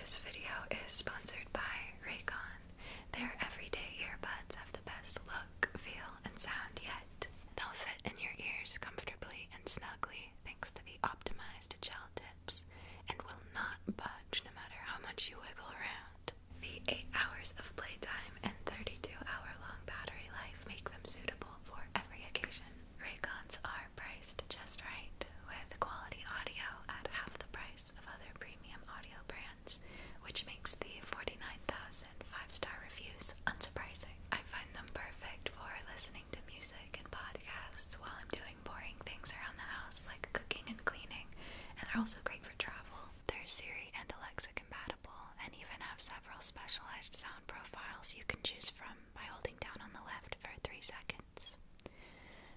This video is sponsored by Raycon. Their everyday earbuds have the best look, feel, and sound yet. They'll fit in your ears comfortably and snugly thanks to the optimized gel tips and will not budge no matter how much you wiggle around. The 8 hours of playtime and 32 hour long battery life make them suitable for every occasion. Raycons are priced just right with quality audio at half the price of other premium audio brands, which makes the 49,000 five-star reviews unsurprising. I find them perfect for listening to music and podcasts while I'm doing boring things around the house like cooking and cleaning, and they're also great for travel. They're Siri and Alexa compatible and even have several specialized sound profiles you can choose from by holding down on the left for 3 seconds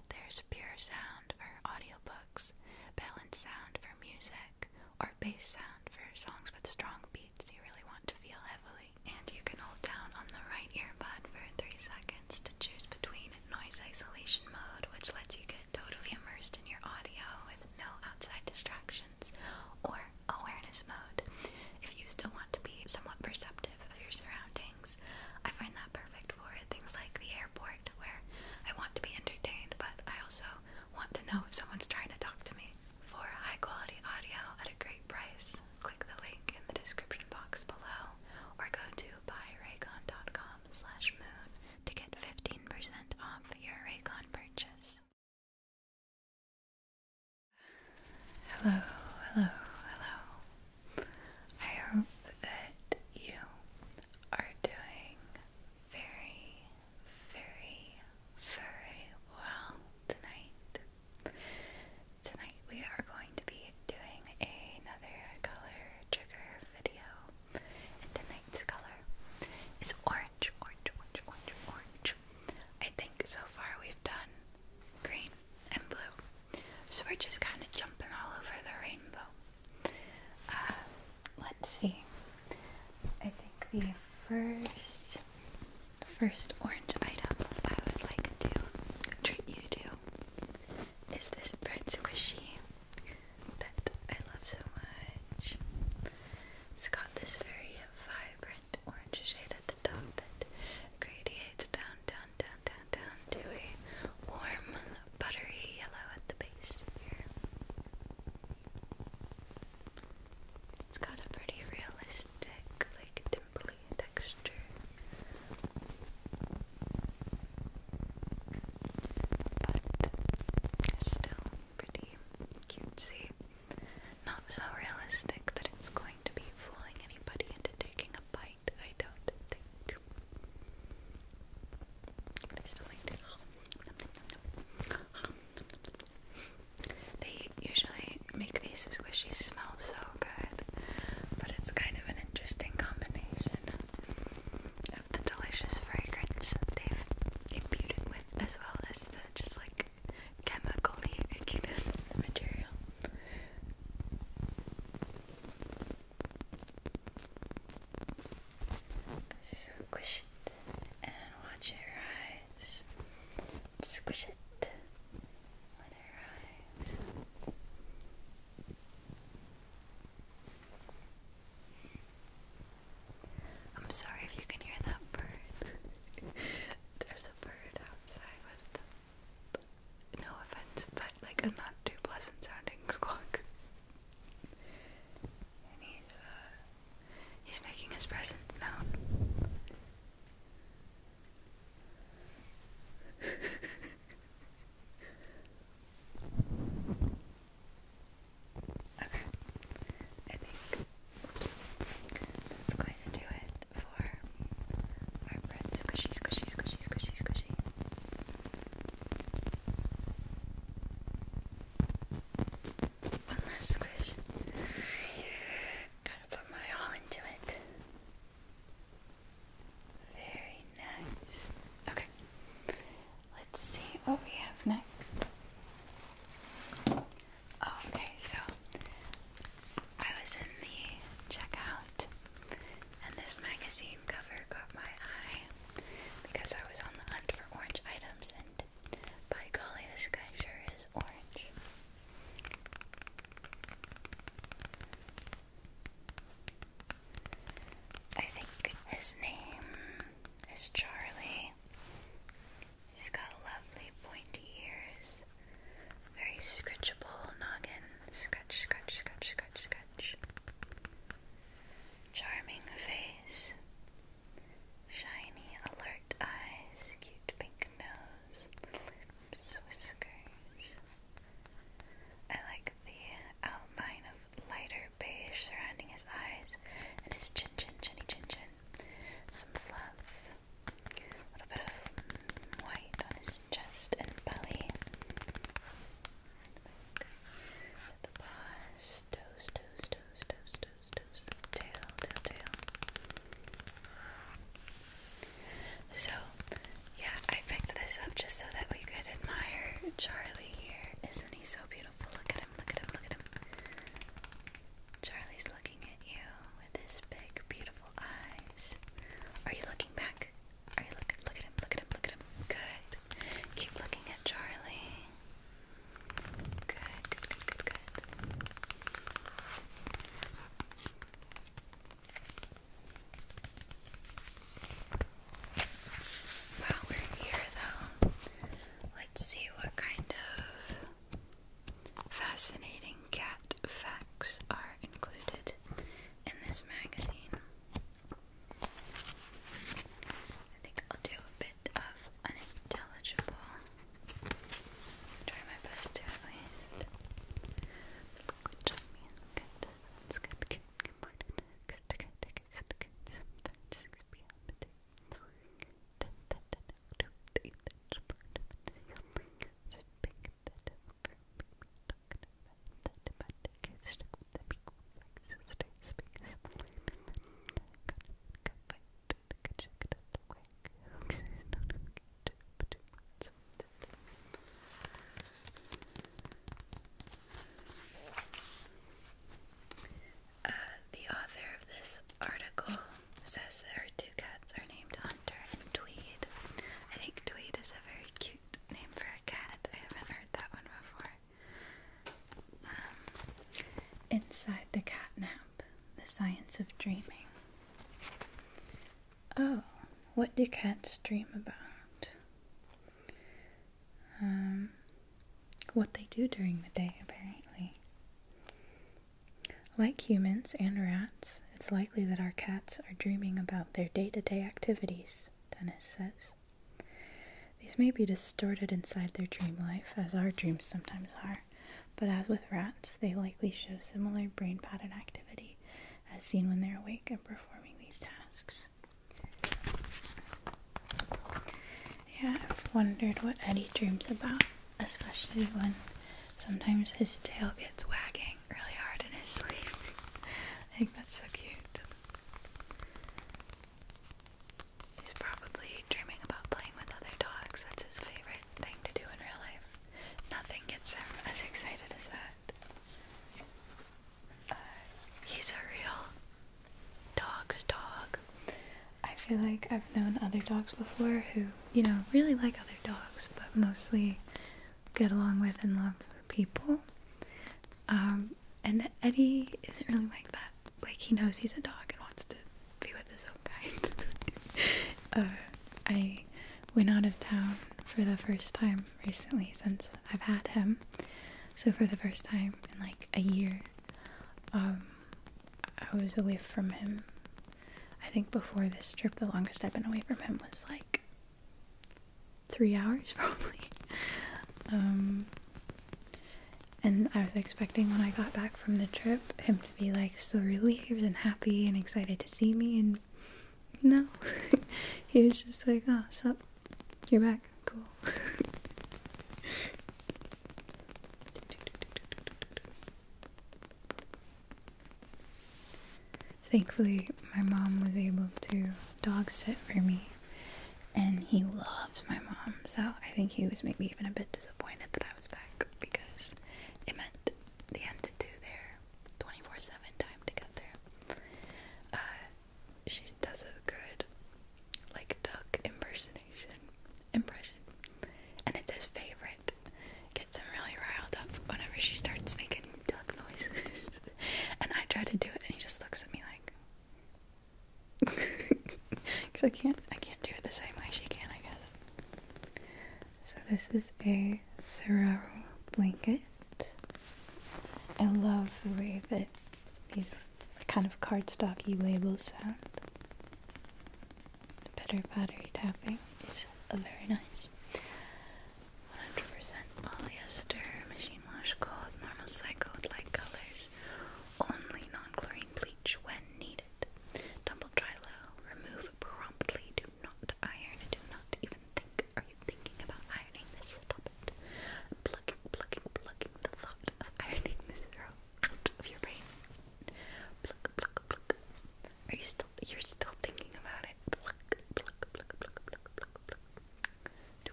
there's pure sound for audiobooks, balanced sound for music, or bass sound for songs with strong beats you really want to feel heavily. And you can hold down on the right earbud for 3 seconds to choose between noise isolation mode, which lets you get totally immersed in your audio with no outside distractions, or awareness mode, if you still want to be somewhat perceptive of your surroundings I find that perfect for things like the airport where I want to be entertained, but I also want to know if someone's trying to talk to me. For high quality audio at a great price, click the link in the description box below or go to buyraycon.com slash moon to get 15% off your Raycon purchase. Hello, hello, hello. I hope that you are doing very, very, very well tonight. Tonight we are going to be doing another color trigger video. And tonight's color is orange, orange, orange, orange, orange. I think so far we've done green and blue. So we're just kind of jumping all over the rainbow. Uh, let's see. I think the first, first orange item I would like to treat you to is this bird squishy that I love so much. It's got this very vibrant orange shade at the top that gradiates down, down, down, down, down, to a warm, buttery yellow at the base here. It's got a pretty realistic, like, dimply texture. But still pretty cutesy. Not so realistic that it's going to be fooling anybody into taking a bite. I don't think. They usually make these squishies smell so good, but it's kind of an interesting combination of the delicious fragrance they've imbued it with, as well as the just like chemical ickiness material. Squish it and watch it rise. Squish it. Let it rise. I'm sorry if you can hear that bird. There's a bird outside no offense, but like a not too pleasant sounding squawk. he's, uh, he's making his presence known. okay, I think, oops, that's going to do it for our bread squishy, squishy, squishy, squishy, squishy. One last squish. Gotta put my all into it. Very nice. Okay. Let's see what we have next. Okay, so I was in the checkout and this magazine cover caught my eye because I was on the hunt for orange items, and by golly, this guy sure is orange. I think his name is Charlie. He's got lovely pointy ears, very scratchable noggin. Scratch, scratch, scratch, scratch, scratch. Charming face. Shiny, alert eyes. Cute pink nose. whiskers. I like the outline of lighter beige surrounding his eyes and his chin, chin, chinny, chin, chin. Some fluff. A little bit of white on his chest and belly. The paws, toes, toes, toes, toes, toes, toes, tail, tail. So, yeah, I picked this up just so that we could admire Charlie here. Isn't he so beautiful? Look at him, look at him, look at him. Charlie's looking at you with his big, beautiful eyes. Are you looking back? Look at him. Look at him. Look at him. Good. Keep looking at Charlie. Good. Good. Good. Good. Good. While we're here, though, let's see what kind of fascinating cat facts are included in this magazine. I think I'll do a bit of unintelligible. Try my best to at least the author of this article says that her two cats are named Hunter and Tweed. I think Tweed is a very cute perfect name for a cat. I haven't heard that one before. Um, inside the Catnap, The Science of Dreaming. Oh, what do cats dream about? Um, what they do during the day, apparently. Like humans and rats, it's likely that our cats are dreaming about their day to day activities, Dennis says. These may be distorted inside their dream life, as our dreams sometimes are, but as with rats, they likely show similar brain pattern activity as seen when they're awake and performing these tasks. Yeah, I've wondered what Eddie dreams about, especially when sometimes his tail gets wagging really hard in his sleep. I think that's so cute. He's probably dreaming about playing with other dogs. That's his favorite thing to do in real life. Nothing gets him as excited as that. he's a real dog's dog. I feel like I've known other dogs before who, you know, really like other dogs, but mostly get along with and love people. Um, and Eddie isn't really like that. Like, he knows he's a dog and wants to be with his own kind. Uh, I went out of town for the first time recently since I've had him. So, for the first time in like a year, um, I was away from him. I think before this trip, the longest I've been away from him was like three hours probably. Um, and I was expecting when I got back from the trip him to be like so relieved and happy and excited to see me, and no, he was just like, "Oh, sup, you're back, cool." Thankfully, my mom was able to dog sit for me, and he loved my mom, so I think he was maybe even a bit disappointed that I was back because it meant they had to do their 24 7 time together. Uh, she does a good, like, duck impersonation impression, and it's his favorite. Gets him really riled up whenever she starts making duck noises. and I try to do it and he just looks at me like because I can't I can't do it the same way she can I guess so this is a thorough blanket I love the way that these kind of cardstocky labels sound better battery tapping is a very nice 100% polyester, machine wash, cold. normal cycle light colors. Only non-chlorine bleach when needed. Tumble dry low. Remove promptly. Do not iron. Do not even think. Are you thinking about ironing this? Stop Plucking, plucking, plucking the thought of ironing this row out of your brain. Pluck, pluck, pluck. Are you you're still thinking about it. Do,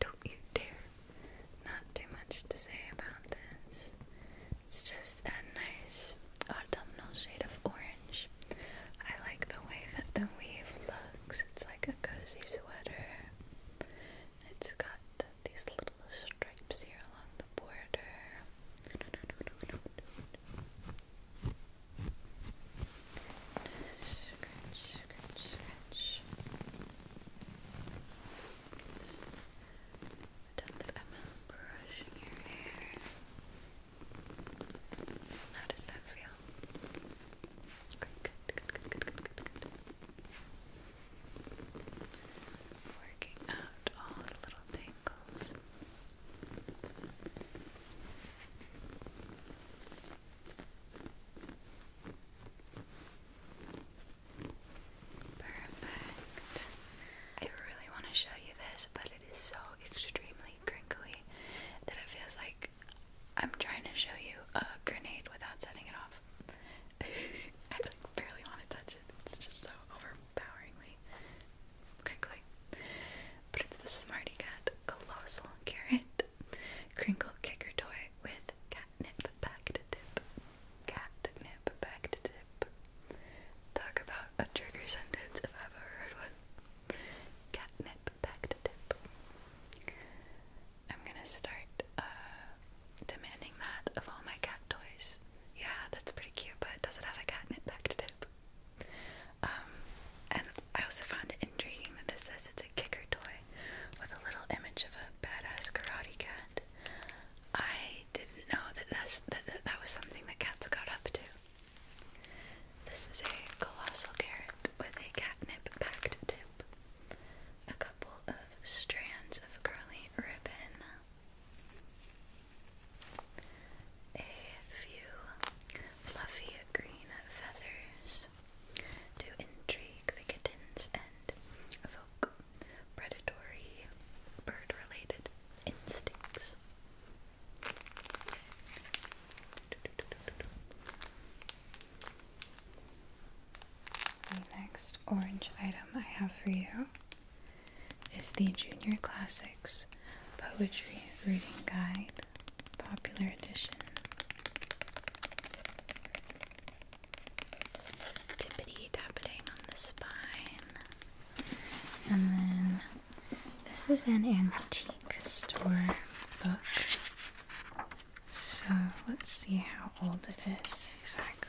not you dare. Not too much to say about this. It's just a nice autumnal shade of orange. I like the way that the weave looks. It's like a cozy sweater. It's got these little stripes here along the border. Scratch, scratch, scratch. does that feel? Good, good, good, good, good, good, good, good. Working out all the little tangles. Perfect. I really want to show you this, but it is so extremely crinkly that it feels like I'm trying to show you a grenade without setting it off. I barely want to touch it. It's just so overpoweringly crinkly. But it's the Smarty Cat Colossal Carrot Crinkle Kicker Toy with Catnip Back to Tip. Catnip Back to Tip. Talk about a trigger sentence if I've ever heard one. Catnip Back to Tip. I'm gonna start uh, demanding that of all my cat toys. Yeah, that's pretty cute, but does it have a catnip back to tip? Um, and I also found it intriguing that this says it's a kicker toy with a little image of a badass karate cat. I didn't know that that's, that, that, that was something that cats got up to. This is a colossal carrot with a catnip packed tip, a couple of strands of curly ribbon, a few fluffy green feathers to intrigue the kittens and evoke predatory bird related instincts. The next orange item I have for you is the Junior Classics Poetry Reading Guide, Popular Edition. Tippity tapping on the spine. And then this is an antique store book. So let's see how old it is exactly.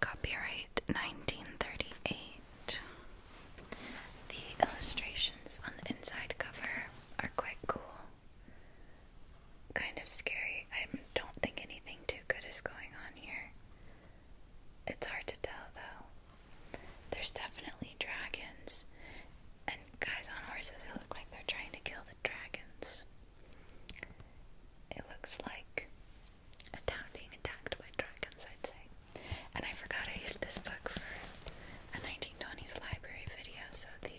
Copyright 1938. The illustrations on the inside cover are quite cool. Kind of scary. I don't think anything too good is going on here. It's hard to tell though. There's definitely dragons and guys on horses who look like they're trying to kill the dragons. It looks like a town being attacked by dragons, I'd say. And I forgot I used this book for a 1920s library video, so the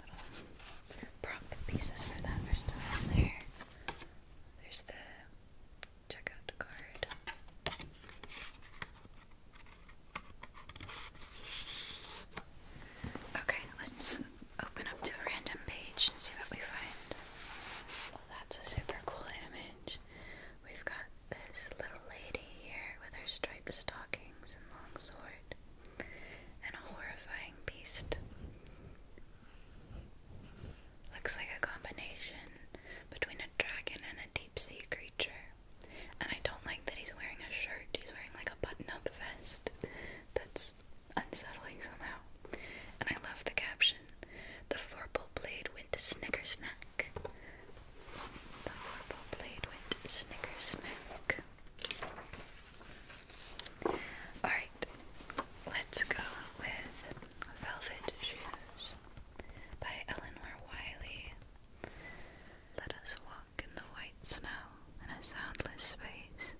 little pieces for that are still in there. There's the checkout card. Okay, let's open up to a random page and see what we find. Well, that's a super cool image we've got this little lady here with her striped stockings and long sword, and a horrifying beast. Looks like a combination between a dragon and a deep sea creature. And I don't like that he's wearing a shirt, he's wearing like a button up vest. That's unsettling somehow. And I love the caption the forble blade went snickersnack. The forble blade went snickersnack. Alright, let's go with Velvet Shoes by Eleanor Wiley. Let us walk in the white snow in a soundless space,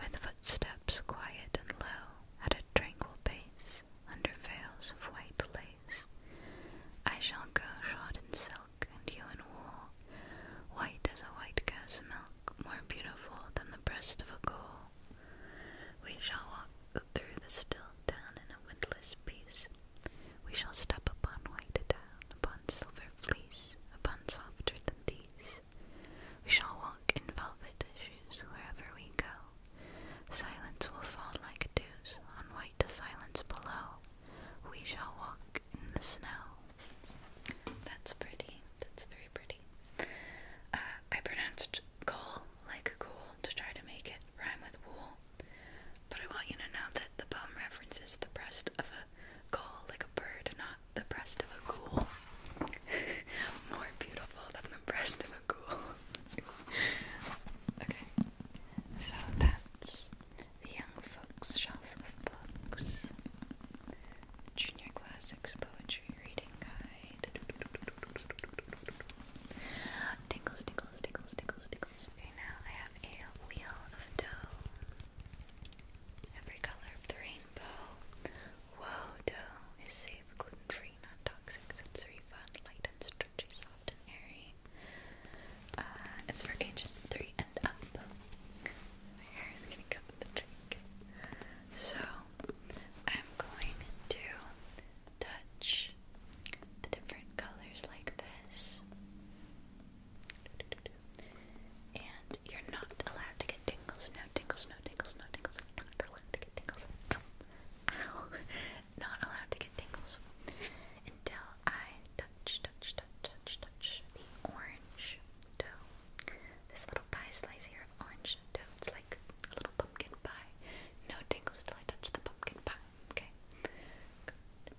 with footsteps quiet and low at a tranquil pace under veils of white lace. I shall go shod in silk and you in wool, white as a white cow's milk, more beautiful than the breast of a gull. We shall walk through the still town in a windless peace. We shall step upon white down, upon silver fleece, upon softer than these. We shall walk in velvet shoes wherever we go. Silence will fall like dews on white silence below. We shall walk in the snow. That's pretty. That's very pretty. Uh, I pronounced goal like cool to try to make it rhyme with wool. But I want you to know that the poem references the breast of a gull like a bird, not the breast of a ghoul. More beautiful than the breast of a ghoul okay, so that's the Young Folks Shelf of Books, Junior Classics Poetry Reading Guide. Tickles, tickles, tickles, tickles, tickles. Okay, now I have a wheel of dough. Every color of the rainbow Wodo is safe, gluten-free, non-toxic, sensory fun, light and stretchy, soft and airy. Uh, it's for ages three and up. My hair go So I'm going to touch the different colors like this. And you're not allowed to get tingles. No tingles, no tingles, no tingles. You're not allowed to get tingles. not allowed to get tingles until I touch, touch, touch, touch, touch the orange dough. This little pie slice here of orange dough. It's like a little pumpkin pie. No tingles till I touch the pumpkin pie. Okay. Good.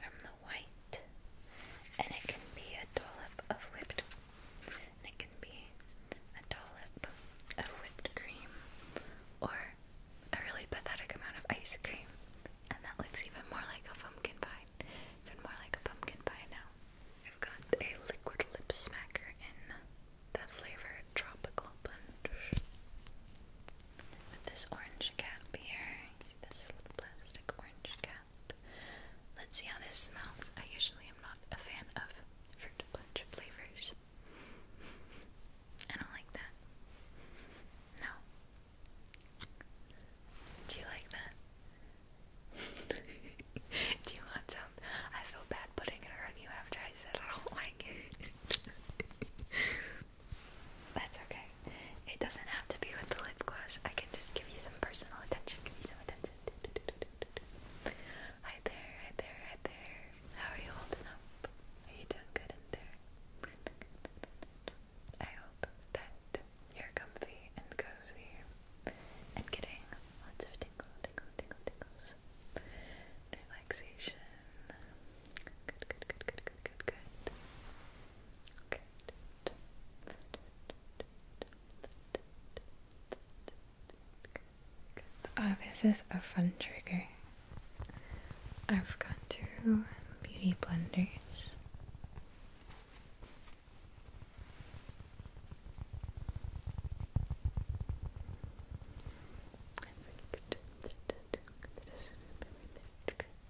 from the white, and it can be a dollop of whipped, and it can be a dollop of whipped cream, or a really pathetic amount of ice cream, and that looks even more like a pumpkin pie, even more like a pumpkin pie now. I've got a liquid lip smacker in the flavor tropical punch with this orange cap here. see this plastic orange cap? Let's see how this smells. I usually am not a fan of fruit punch flavors. I don't like that. No. Do you like that? Do you want some? I feel bad putting it around you after I said I don't like it. That's okay. It doesn't have to be with the lip gloss. I can just give you some personal attention. Give you some attention. Hi there, hi there, hi there. How are you holding up? Are you doing good in there? I hope that you're comfy and cozy and getting lots of tingle, tingle, tingle, tingles. Relaxation Good, this is a fun trigger. I've got two beauty blenders.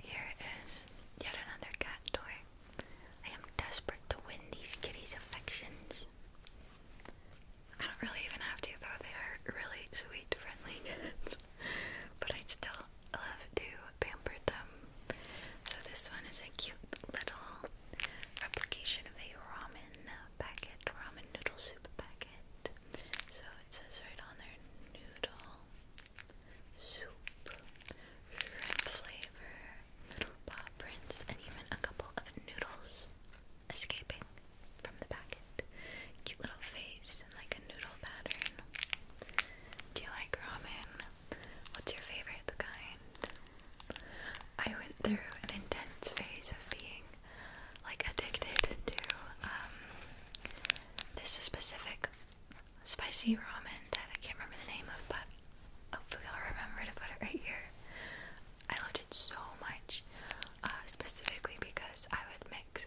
Here is yet another cat toy. I am desperate to win these kitties' affections. I don't really even have to, though. They are really sweet, friendly but I still love to pamper them. So this one is a cute little replication of a ramen packet, ramen noodle soup packet. So it says right on there, noodle soup, shrimp flavor, little paw prints, and even a couple of noodles escaping from the packet. Cute little face like a noodle pattern. Do you like ramen? What's your favorite kind? I went through an intense phase of being like addicted to um, this specific spicy ramen that I can't remember the name of, but hopefully I'll remember to put it right here. I loved it so much, uh, specifically because I would mix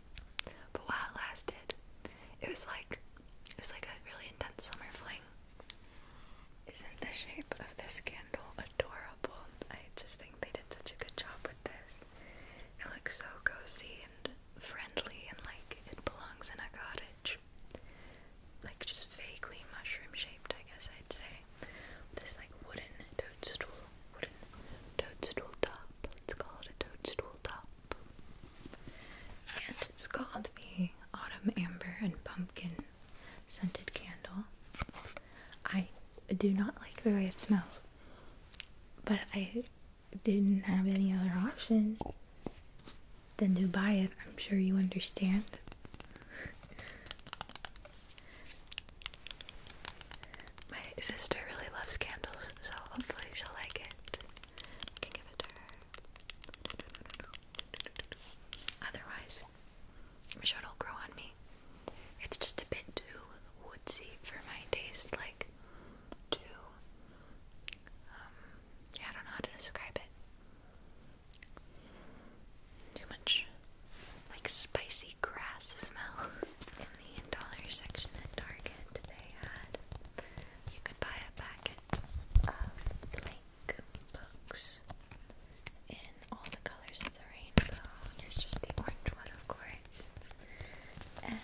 But while it lasted, it was like it was like a really intense summer fling. Isn't the shape of this candle adorable? I just think they did such a good job with this. It looks so cozy and friendly and like it belongs in a cottage. Like just vaguely mushroom shaped, I guess I'd say. This like wooden toadstool, toadstool top. Let's call it a toadstool top. And it's called the Autumn Amber and Pumpkin Scented Candle. I do not like the way it smells, but I didn't have any other option than to buy it. I'm sure you understand. My sister really loves candles, so hopefully she'll like it give it to her. Otherwise, I'm sure it'll grow on me. It's just a bit too woodsy for my taste, like too. Um, yeah, I don't know how to describe it. Too much, like spicy grass smell. the dollar section at Target, they had you could buy a packet of blank books in all the colors of the rainbow. There's just the orange one, of course. And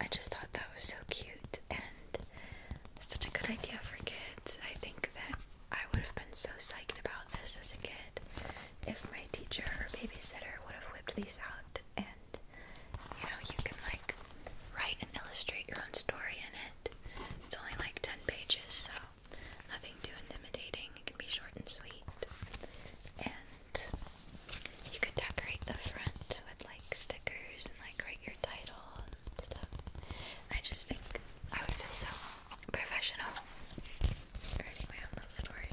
I just thought that was so cute and such a good idea for kids. I think that I would have been so psyched about this as a kid if my teacher or babysitter would have whipped these out and you know, you can like write and illustrate your own story in it. It's only like 10 pages, so nothing too intimidating. It can be short and sweet. And you could decorate the front with like stickers and like write your title and stuff. I just think I would feel so professional writing my own story.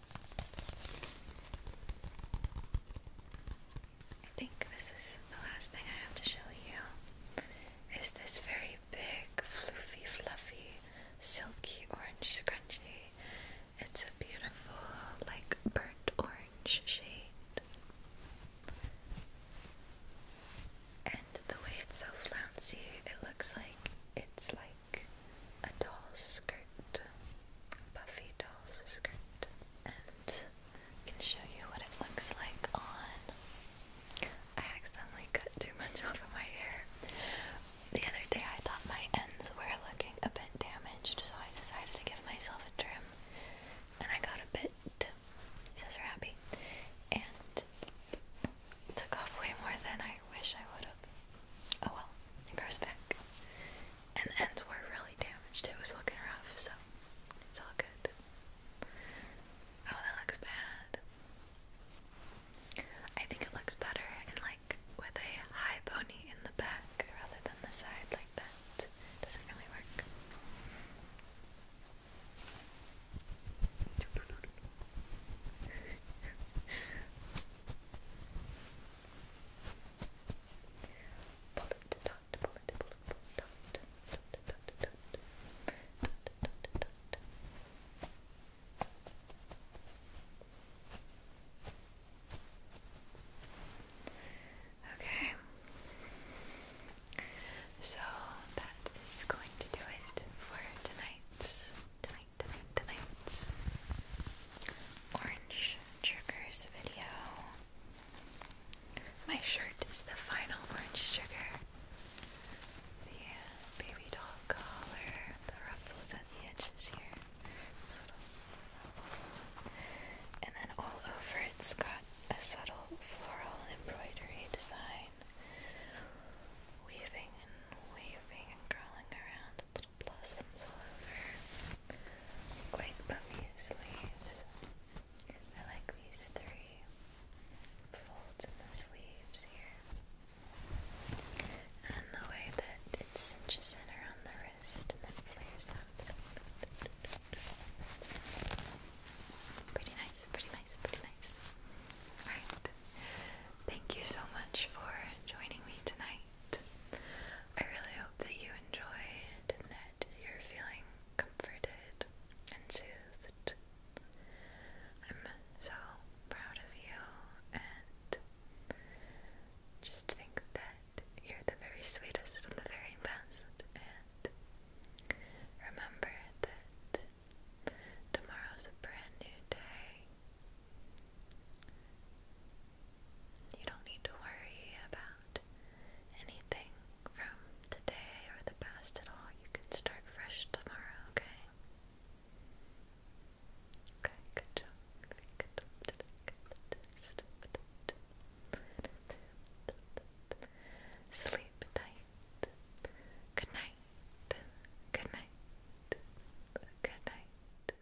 I think this is the last thing I have to show you. Is this very big, floofy, fluffy, silky orange scrunchie? It's a beautiful, like burnt orange shade. And the way it's so flouncy, it looks like it's like a doll's skirt, puffy doll's skirt, and I can show you what it looks like on. I accidentally cut too much off of my hair. The other day I thought my ends were looking a bit damaged, so I decided to give myself a trim, and I got a bit scissor happy, and took off way more than I wish I would have. Oh well, it grows back and the ends were really damaged. It was looking rough, so it's all good. Oh, that looks bad. I think it looks better in like with a high pony in the back rather than the side like that. Doesn't really work. Okay, so that is going to do it for tonight's, tonight, tonight, tonight's orange triggers video. My shirt is the final orange trigger. The uh, baby doll collar, the ruffles at the edges here. And then all over it's got a subtle floral embroidery design. Weaving and waving and curling around blossoms all over quite copious leaves I like these three folds in the sleeves here and the way that it cinches in around the wrist and then flares out pretty nice, pretty nice, pretty nice alright, thank you so much for joining me tonight I really hope that you enjoy and that you're feeling comforted and soothed. I'm so proud of you and just think that you're the very sweetest and the very best. And remember that tomorrow's a brand new day. You don't need to worry about anything from today or the past at all. You can start fresh tomorrow, okay? Okay, good job. Good job. Sleep tight. Good night. Good night. Good night.